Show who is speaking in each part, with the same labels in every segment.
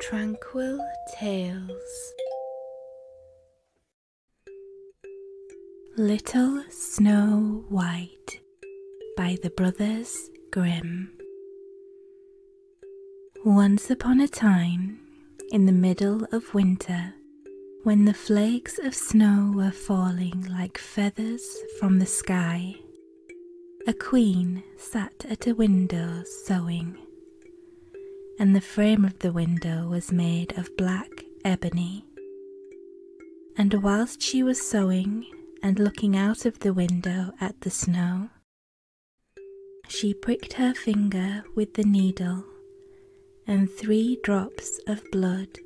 Speaker 1: Tranquil Tales Little Snow White by the Brothers Grimm. Once upon a time, in the middle of winter, when the flakes of snow were falling like feathers from the sky, a queen sat at a window sewing, and the frame of the window was made of black ebony. And whilst she was sewing and looking out of the window at the snow, she pricked her finger with the needle, and three drops of blood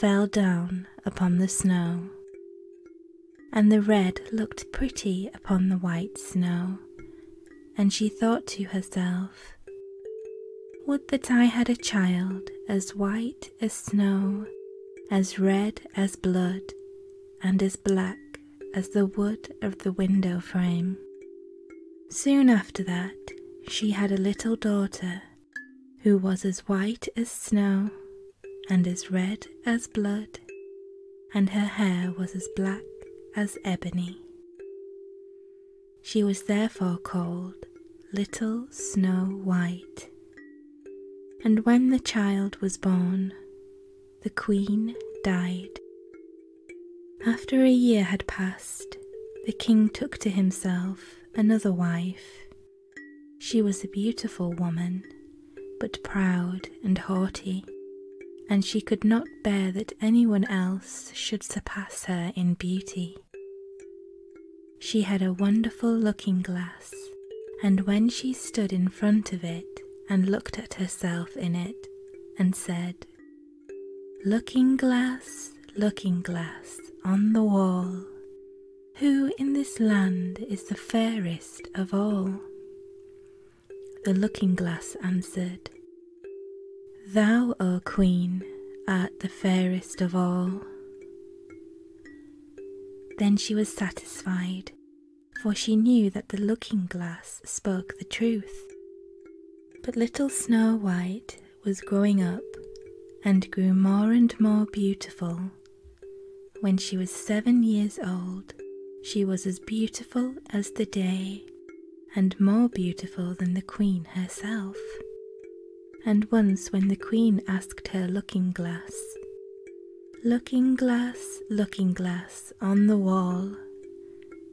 Speaker 1: fell down upon the snow and the red looked pretty upon the white snow, and she thought to herself, Would that I had a child as white as snow, as red as blood, and as black as the wood of the window frame. Soon after that, she had a little daughter who was as white as snow and as red as blood, and her hair was as black as ebony. She was therefore called Little Snow White. And when the child was born, the queen died. After a year had passed, the king took to himself another wife. She was a beautiful woman but proud and haughty, and she could not bear that anyone else should surpass her in beauty. She had a wonderful looking glass, and when she stood in front of it and looked at herself in it, and said, Looking glass, looking glass on the wall, who in this land is the fairest of all? The looking glass answered, Thou, O Queen, art the fairest of all. Then she was satisfied, for she knew that the looking glass spoke the truth. But little Snow White was growing up and grew more and more beautiful when she was seven years old, she was as beautiful as the day, and more beautiful than the queen herself. And once, when the queen asked her looking glass, Looking glass, looking glass on the wall,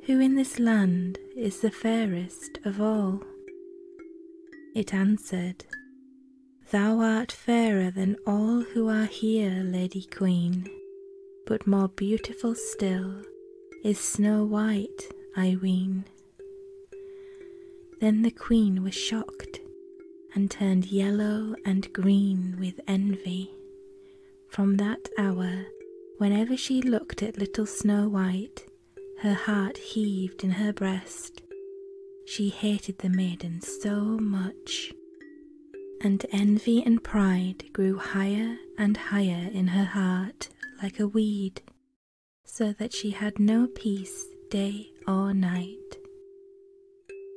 Speaker 1: who in this land is the fairest of all? It answered, Thou art fairer than all who are here, Lady Queen, but more beautiful still is Snow White, I ween. Then the Queen was shocked and turned yellow and green with envy. From that hour, whenever she looked at little Snow White, her heart heaved in her breast she hated the maiden so much, and envy and pride grew higher and higher in her heart like a weed, so that she had no peace day or night.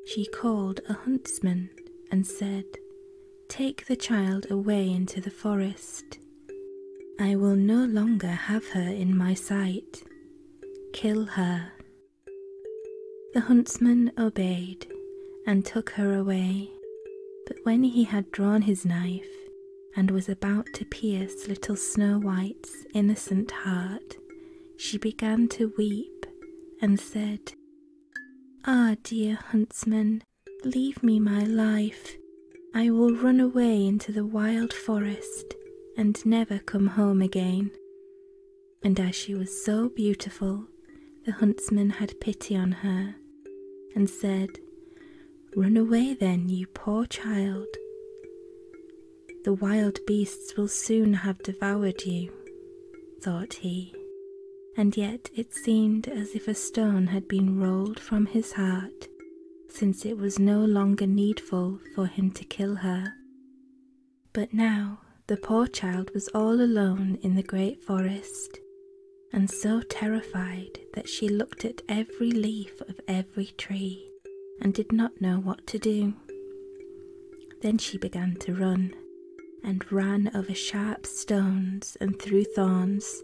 Speaker 1: She called a huntsman and said, Take the child away into the forest. I will no longer have her in my sight. Kill her the huntsman obeyed and took her away, but when he had drawn his knife and was about to pierce little Snow White's innocent heart, she began to weep and said, Ah, dear huntsman, leave me my life. I will run away into the wild forest and never come home again and as she was so beautiful, the huntsman had pity on her and said, Run away then, you poor child. The wild beasts will soon have devoured you, thought he, and yet it seemed as if a stone had been rolled from his heart, since it was no longer needful for him to kill her. But now the poor child was all alone in the great forest, and so terrified that she looked at every leaf of every tree and did not know what to do. Then she began to run, and ran over sharp stones and through thorns,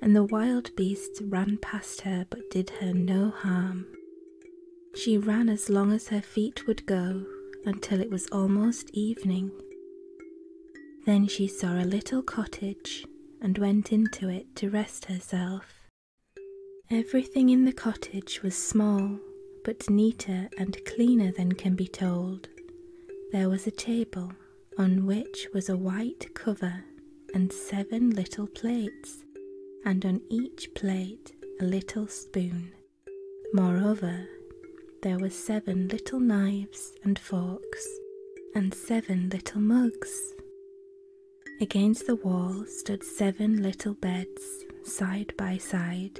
Speaker 1: and the wild beasts ran past her but did her no harm, she ran as long as her feet would go until it was almost evening. Then she saw a little cottage and went into it to rest herself. Everything in the cottage was small, but neater and cleaner than can be told. There was a table on which was a white cover and seven little plates, and on each plate a little spoon. Moreover, there were seven little knives and forks, and seven little mugs. Against the wall stood seven little beds, side by side,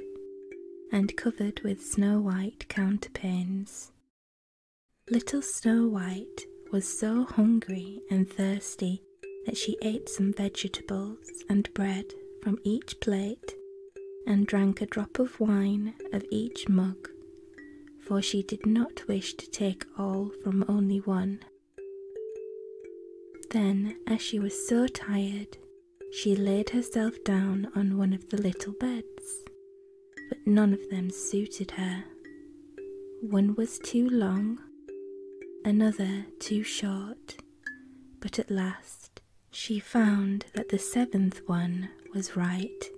Speaker 1: and covered with snow white counterpanes. Little Snow White was so hungry and thirsty that she ate some vegetables and bread from each plate and drank a drop of wine of each mug, for she did not wish to take all from only one. Then, as she was so tired, she laid herself down on one of the little beds, but none of them suited her. One was too long, another too short but at last she found that the seventh one was right,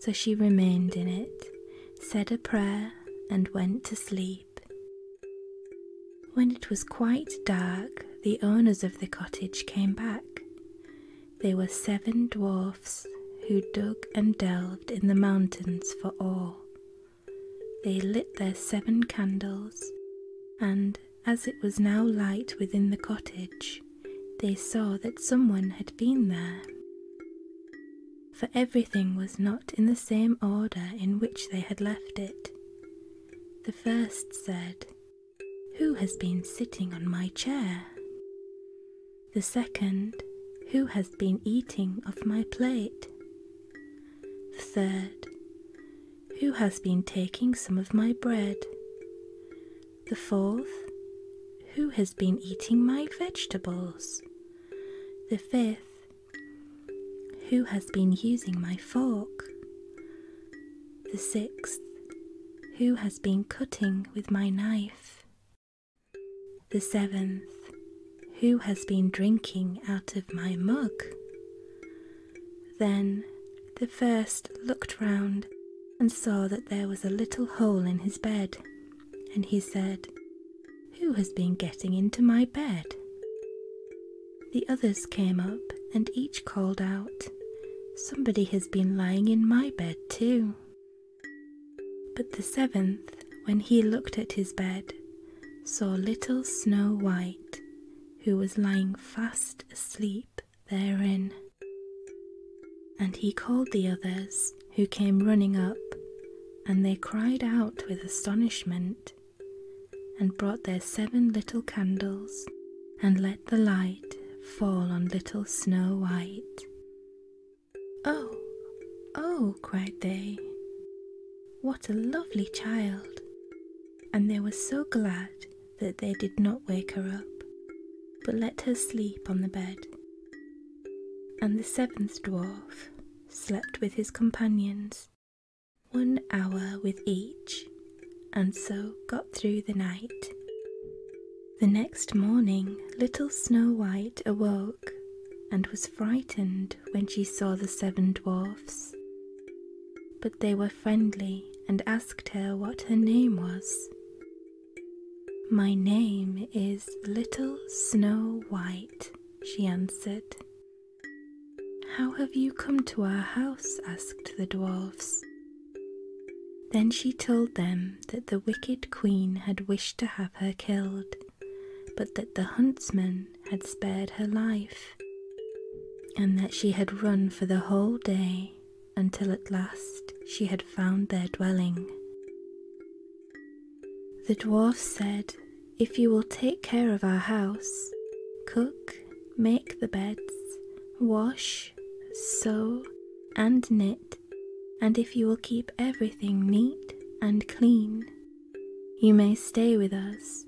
Speaker 1: so she remained in it, said a prayer, and went to sleep. When it was quite dark, the owners of the cottage came back. They were seven dwarfs who dug and delved in the mountains for ore, they lit their seven candles, and as it was now light within the cottage, they saw that someone had been there. For everything was not in the same order in which they had left it. The first said, Who has been sitting on my chair? The second, Who has been eating off my plate? The third, Who has been taking some of my bread? The fourth, Who has been eating my vegetables? The fifth, Who has been using my fork? The sixth, Who has been cutting with my knife? The seventh, who has been drinking out of my mug? Then the first looked round and saw that there was a little hole in his bed, and he said, Who has been getting into my bed? The others came up and each called out, Somebody has been lying in my bed too. But the seventh, when he looked at his bed, saw little Snow White, who was lying fast asleep therein. And he called the others, who came running up, and they cried out with astonishment, and brought their seven little candles, and let the light fall on little Snow White. Oh, oh, cried they, what a lovely child! And they were so glad that they did not wake her up, but let her sleep on the bed. And the seventh dwarf slept with his companions, one hour with each, and so got through the night. The next morning, little Snow White awoke and was frightened when she saw the seven dwarfs, but they were friendly and asked her what her name was. My name is Little Snow White, she answered. How have you come to our house? asked the dwarfs. Then she told them that the wicked queen had wished to have her killed, but that the huntsman had spared her life, and that she had run for the whole day until at last she had found their dwelling. The dwarf said, If you will take care of our house, cook, make the beds, wash, sew, and knit, and if you will keep everything neat and clean, you may stay with us,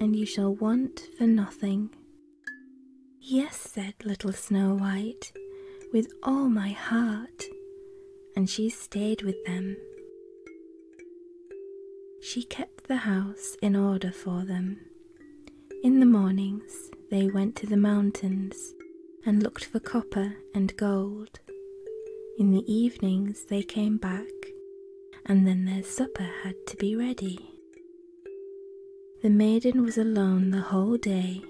Speaker 1: and you shall want for nothing. Yes, said little Snow White, with all my heart, and she stayed with them. She kept the house in order for them. In the mornings, they went to the mountains and looked for copper and gold. In the evenings they came back, and then their supper had to be ready. The maiden was alone the whole day.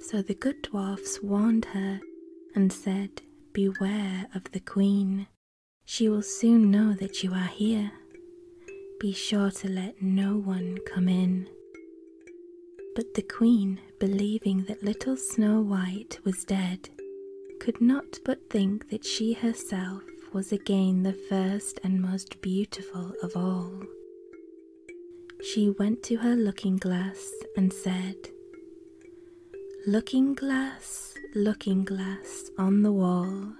Speaker 1: So the good dwarfs warned her and said, Beware of the queen. She will soon know that you are here. Be sure to let no one come in. But the queen believing that little Snow White was dead, could not but think that she herself was again the first and most beautiful of all. She went to her looking glass and said, Looking glass, looking glass on the wall,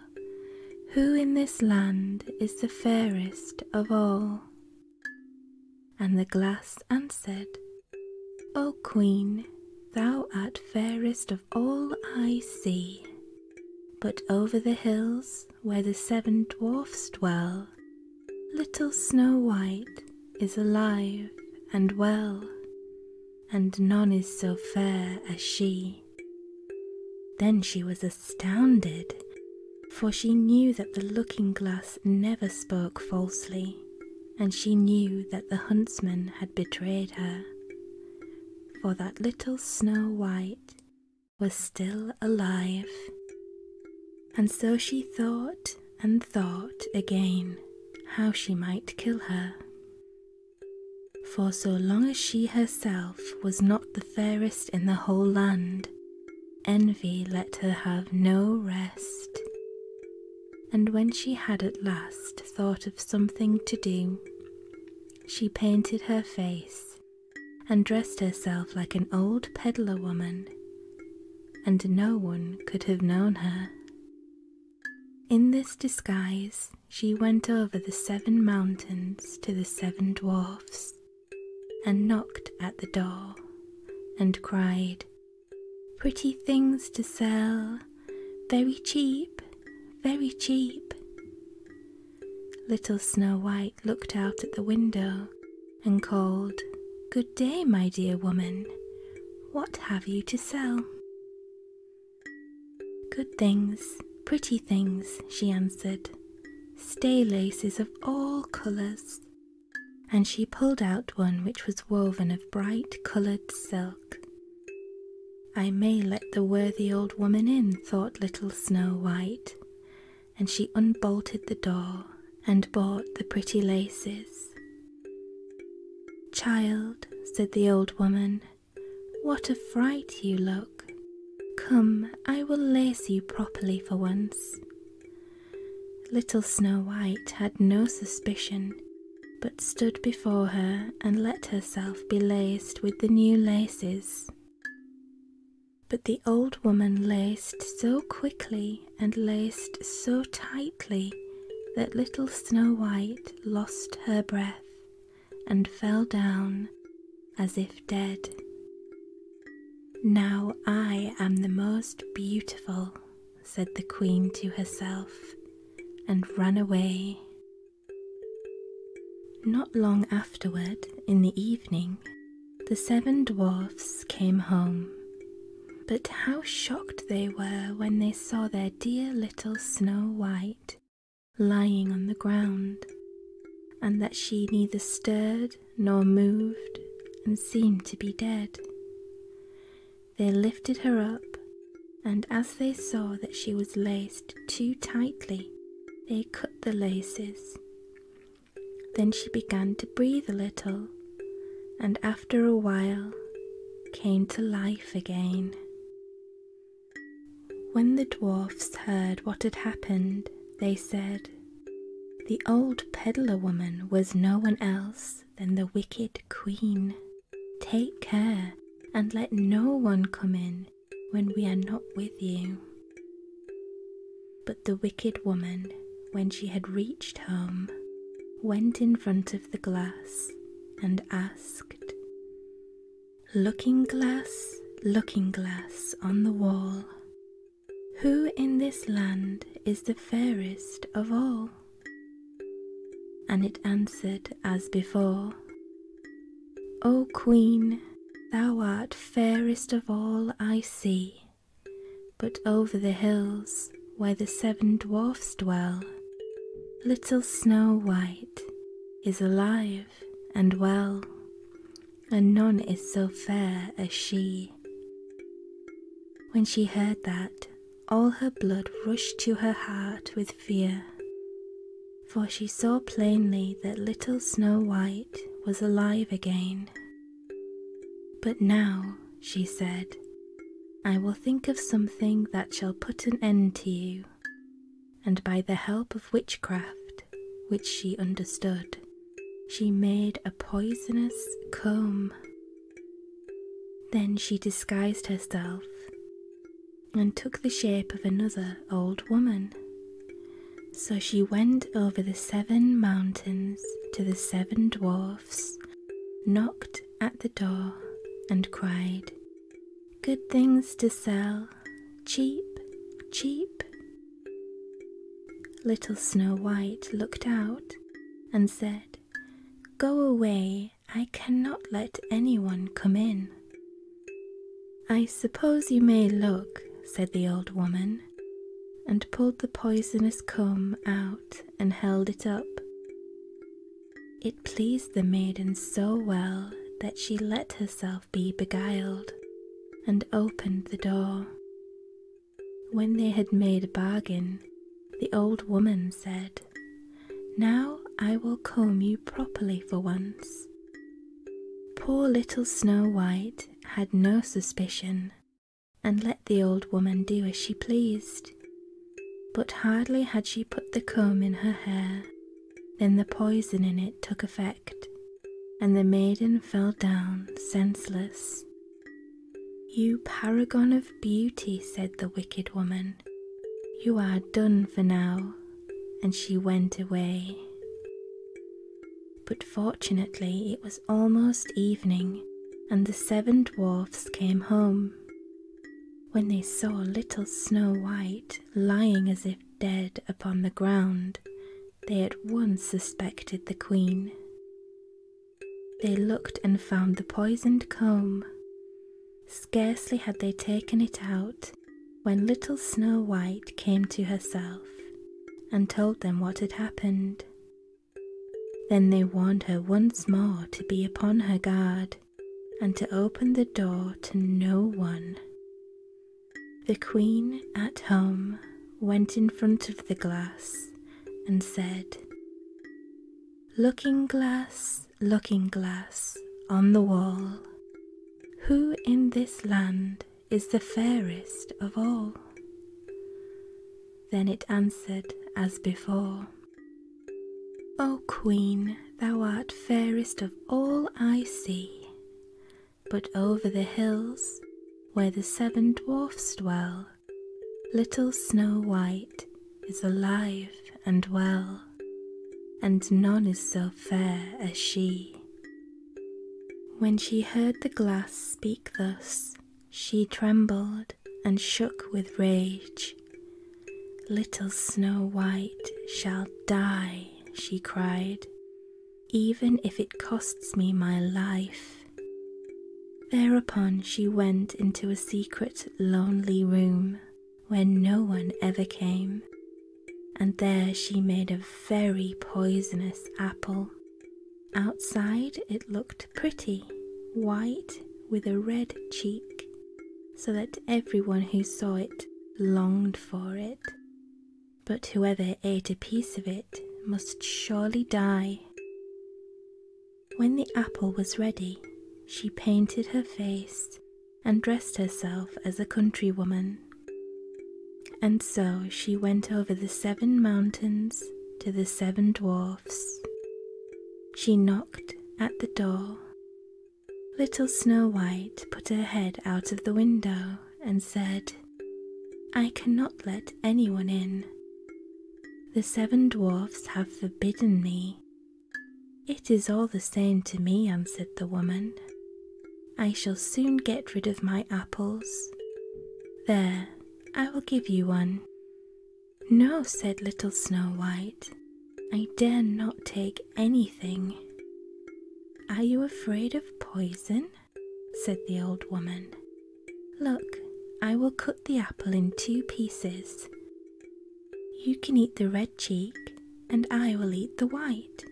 Speaker 1: who in this land is the fairest of all? And the glass answered, O Queen, thou art fairest of all I see, but over the hills where the seven dwarfs dwell, little Snow White is alive and well, and none is so fair as she. Then she was astounded, for she knew that the looking glass never spoke falsely, and she knew that the huntsman had betrayed her, for that little Snow White was still alive. And so she thought and thought again how she might kill her. For so long as she herself was not the fairest in the whole land, envy let her have no rest and when she had at last thought of something to do, she painted her face and dressed herself like an old peddler woman, and no one could have known her. In this disguise, she went over the seven mountains to the seven dwarfs, and knocked at the door, and cried, Pretty things to sell, very cheap, very cheap. Little Snow White looked out at the window and called, Good day, my dear woman. What have you to sell? Good things, pretty things, she answered. Stay laces of all colours, and she pulled out one which was woven of bright coloured silk. I may let the worthy old woman in, thought little Snow White, and she unbolted the door and bought the pretty laces. Child, said the old woman, what a fright you look. Come, I will lace you properly for once. Little Snow White had no suspicion, but stood before her and let herself be laced with the new laces. But the old woman laced so quickly and laced so tightly that little Snow White lost her breath and fell down as if dead. Now I am the most beautiful said the queen to herself, and ran away. Not long afterward, in the evening, the seven dwarfs came home. But how shocked they were when they saw their dear little Snow White lying on the ground, and that she neither stirred nor moved and seemed to be dead. They lifted her up, and as they saw that she was laced too tightly, they cut the laces. Then she began to breathe a little, and after a while came to life again. When the dwarfs heard what had happened, they said, the old peddler woman was no one else than the wicked queen. Take care and let no one come in when we are not with you. But the wicked woman, when she had reached home, went in front of the glass and asked, Looking glass, looking glass on the wall, who in this land is the fairest of all? And it answered as before, O Queen, thou art fairest of all I see, but over the hills where the seven dwarfs dwell, little Snow White is alive and well, and none is so fair as she. When she heard that, all her blood rushed to her heart with fear, for she saw plainly that little Snow White was alive again. But now, she said, I will think of something that shall put an end to you, and by the help of witchcraft, which she understood, she made a poisonous comb. Then she disguised herself and took the shape of another old woman. So she went over the seven mountains to the seven dwarfs, knocked at the door, and cried, Good things to sell, cheap, cheap. Little Snow White looked out and said, Go away, I cannot let anyone come in. I suppose you may look, said the old woman, and pulled the poisonous comb out and held it up. It pleased the maiden so well that she let herself be beguiled and opened the door. When they had made a bargain, the old woman said, Now I will comb you properly for once. Poor little Snow White had no suspicion and let the old woman do as she pleased. But hardly had she put the comb in her hair than the poison in it took effect, and the maiden fell down senseless. You paragon of beauty, said the wicked woman, you are done for now. And she went away. But fortunately, it was almost evening, and the seven dwarfs came home. When they saw little Snow White lying as if dead upon the ground, they at once suspected the queen. They looked and found the poisoned comb. Scarcely had they taken it out when little Snow White came to herself and told them what had happened. Then they warned her once more to be upon her guard and to open the door to no one. The Queen at Home went in front of the glass and said, Looking glass, looking glass, on the wall, who in this land is the fairest of all? Then it answered as before, O Queen, thou art fairest of all I see but over the hills where the seven dwarfs dwell, little Snow White is alive and well, and none is so fair as she. When she heard the glass speak thus, she trembled and shook with rage. Little Snow White shall die, she cried, even if it costs me my life. Thereupon she went into a secret, lonely room where no one ever came, and there she made a very poisonous apple. Outside it looked pretty, white with a red cheek, so that everyone who saw it longed for it but whoever ate a piece of it must surely die. When the apple was ready, she painted her face and dressed herself as a countrywoman. And so she went over the seven mountains to the seven dwarfs. She knocked at the door. Little Snow White put her head out of the window and said, I cannot let anyone in. The seven dwarfs have forbidden me. It is all the same to me, answered the woman. I shall soon get rid of my apples. There, I will give you one. No, said little Snow White, I dare not take anything. Are you afraid of poison? said the old woman. Look, I will cut the apple in two pieces. You can eat the red cheek, and I will eat the white.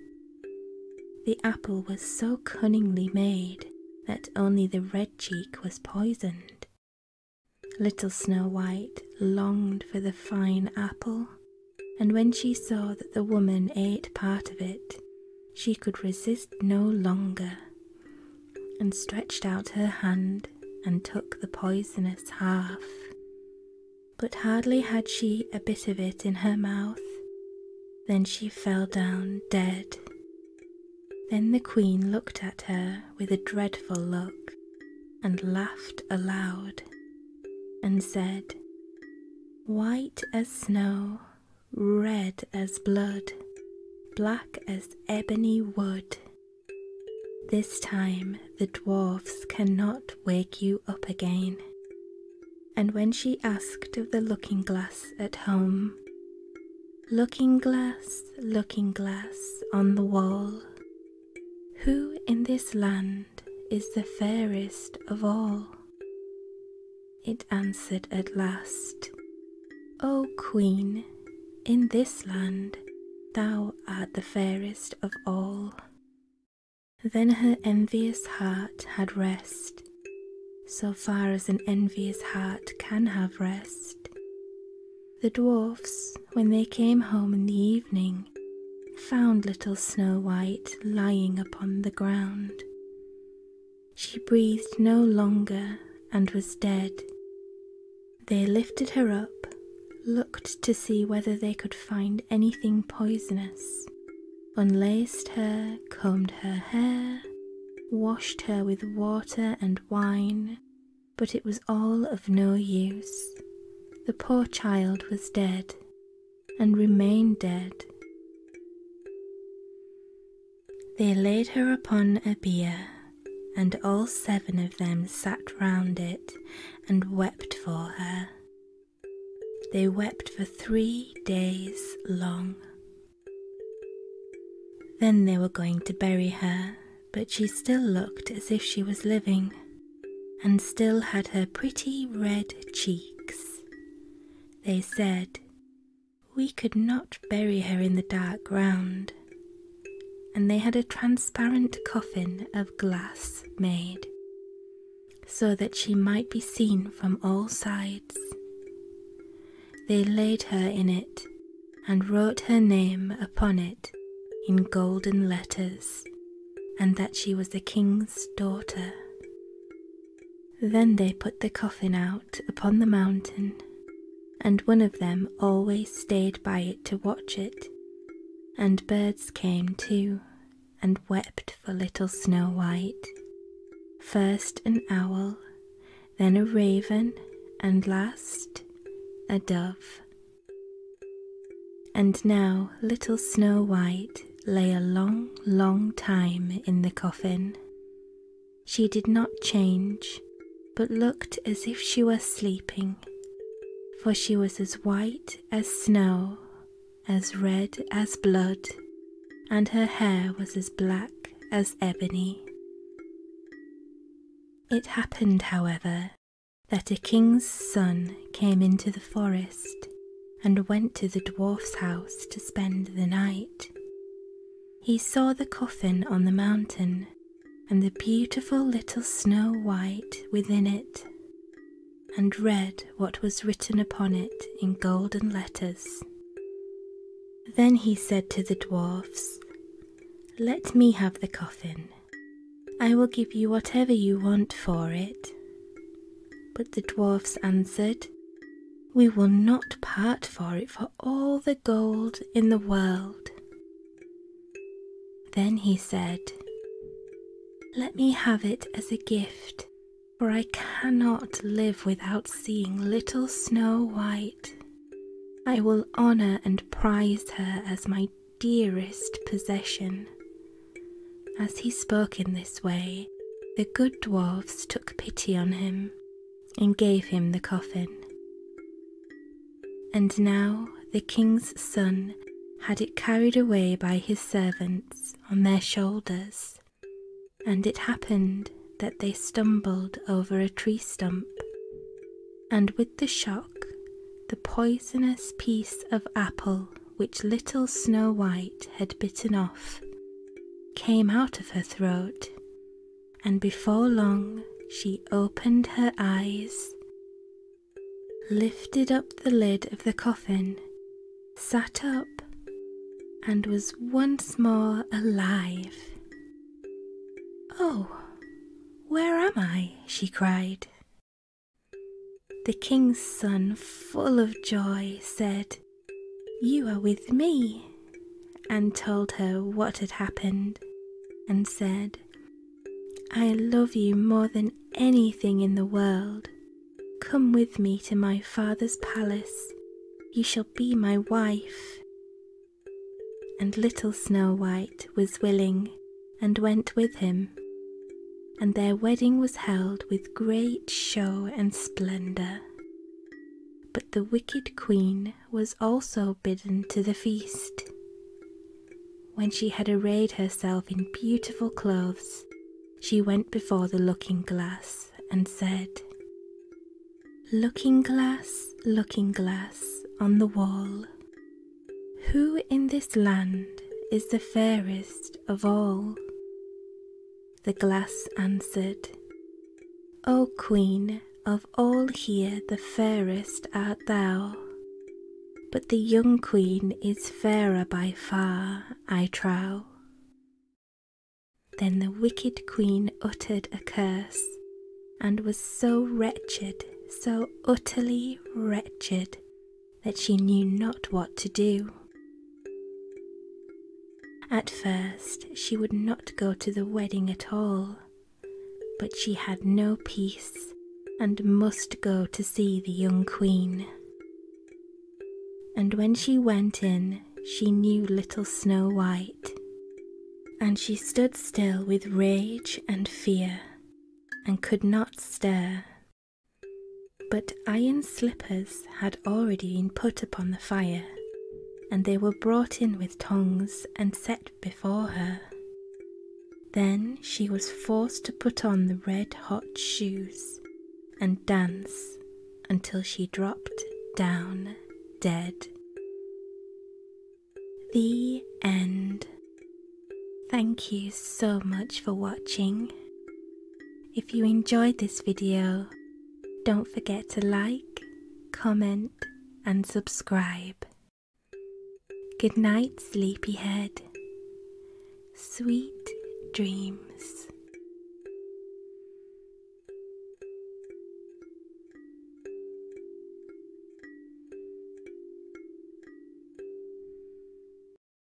Speaker 1: The apple was so cunningly made that only the red cheek was poisoned. Little Snow White longed for the fine apple, and when she saw that the woman ate part of it, she could resist no longer, and stretched out her hand and took the poisonous half. But hardly had she a bit of it in her mouth than she fell down dead. Then the queen looked at her with a dreadful look and laughed aloud and said, White as snow red as blood, black as ebony wood. This time the dwarfs cannot wake you up again. And when she asked of the looking glass at home, Looking glass, looking glass on the wall, who in this land is the fairest of all? it answered at last, O Queen, in this land thou art the fairest of all. Then her envious heart had rest, so far as an envious heart can have rest. The dwarfs, when they came home in the evening, found little Snow White lying upon the ground. She breathed no longer and was dead. They lifted her up, looked to see whether they could find anything poisonous, unlaced her, combed her hair, washed her with water and wine, but it was all of no use. The poor child was dead, and remained dead. They laid her upon a bier, and all seven of them sat round it and wept for her. They wept for three days long. Then they were going to bury her, but she still looked as if she was living, and still had her pretty red cheeks. They said, we could not bury her in the dark ground, and they had a transparent coffin of glass made, so that she might be seen from all sides. They laid her in it and wrote her name upon it in golden letters, and that she was the king's daughter. Then they put the coffin out upon the mountain, and one of them always stayed by it to watch it. And birds came too, and wept for little Snow White. First an owl, then a raven, and last a dove. And now little Snow White lay a long, long time in the coffin. She did not change, but looked as if she were sleeping, for she was as white as snow, as red as blood, and her hair was as black as ebony. It happened, however, that a king's son came into the forest and went to the dwarf's house to spend the night. He saw the coffin on the mountain and the beautiful little Snow White within it, and read what was written upon it in golden letters. Then he said to the dwarfs, Let me have the coffin. I will give you whatever you want for it. But the dwarfs answered, We will not part for it for all the gold in the world. Then he said, Let me have it as a gift, for I cannot live without seeing little Snow White. I will honour and prize her as my dearest possession, as he spoke in this way, the good dwarfs took pity on him and gave him the coffin. And now the king's son had it carried away by his servants on their shoulders, and it happened that they stumbled over a tree stump, and with the shock, the poisonous piece of apple which little Snow White had bitten off, came out of her throat, and before long she opened her eyes, lifted up the lid of the coffin, sat up, and was once more alive. Oh, where am I? she cried. The king's son, full of joy, said, you are with me, and told her what had happened, and said, I love you more than anything in the world. Come with me to my father's palace. You shall be my wife. And little Snow White was willing and went with him and their wedding was held with great show and splendour. But the wicked queen was also bidden to the feast. When she had arrayed herself in beautiful clothes, she went before the looking glass and said, Looking glass, looking glass on the wall, who in this land is the fairest of all? The glass answered, O Queen, of all here the fairest art thou, but the young Queen is fairer by far, I trow. Then the wicked Queen uttered a curse, and was so wretched, so utterly wretched, that she knew not what to do. At first, she would not go to the wedding at all, but she had no peace and must go to see the young queen. And when she went in, she knew little Snow White, and she stood still with rage and fear, and could not stir but iron slippers had already been put upon the fire, and they were brought in with tongs and set before her. Then she was forced to put on the red hot shoes and dance until she dropped down dead. The end. Thank you so much for watching. If you enjoyed this video, don't forget to like, comment, and subscribe. Good night, sleepyhead. Sweet dreams.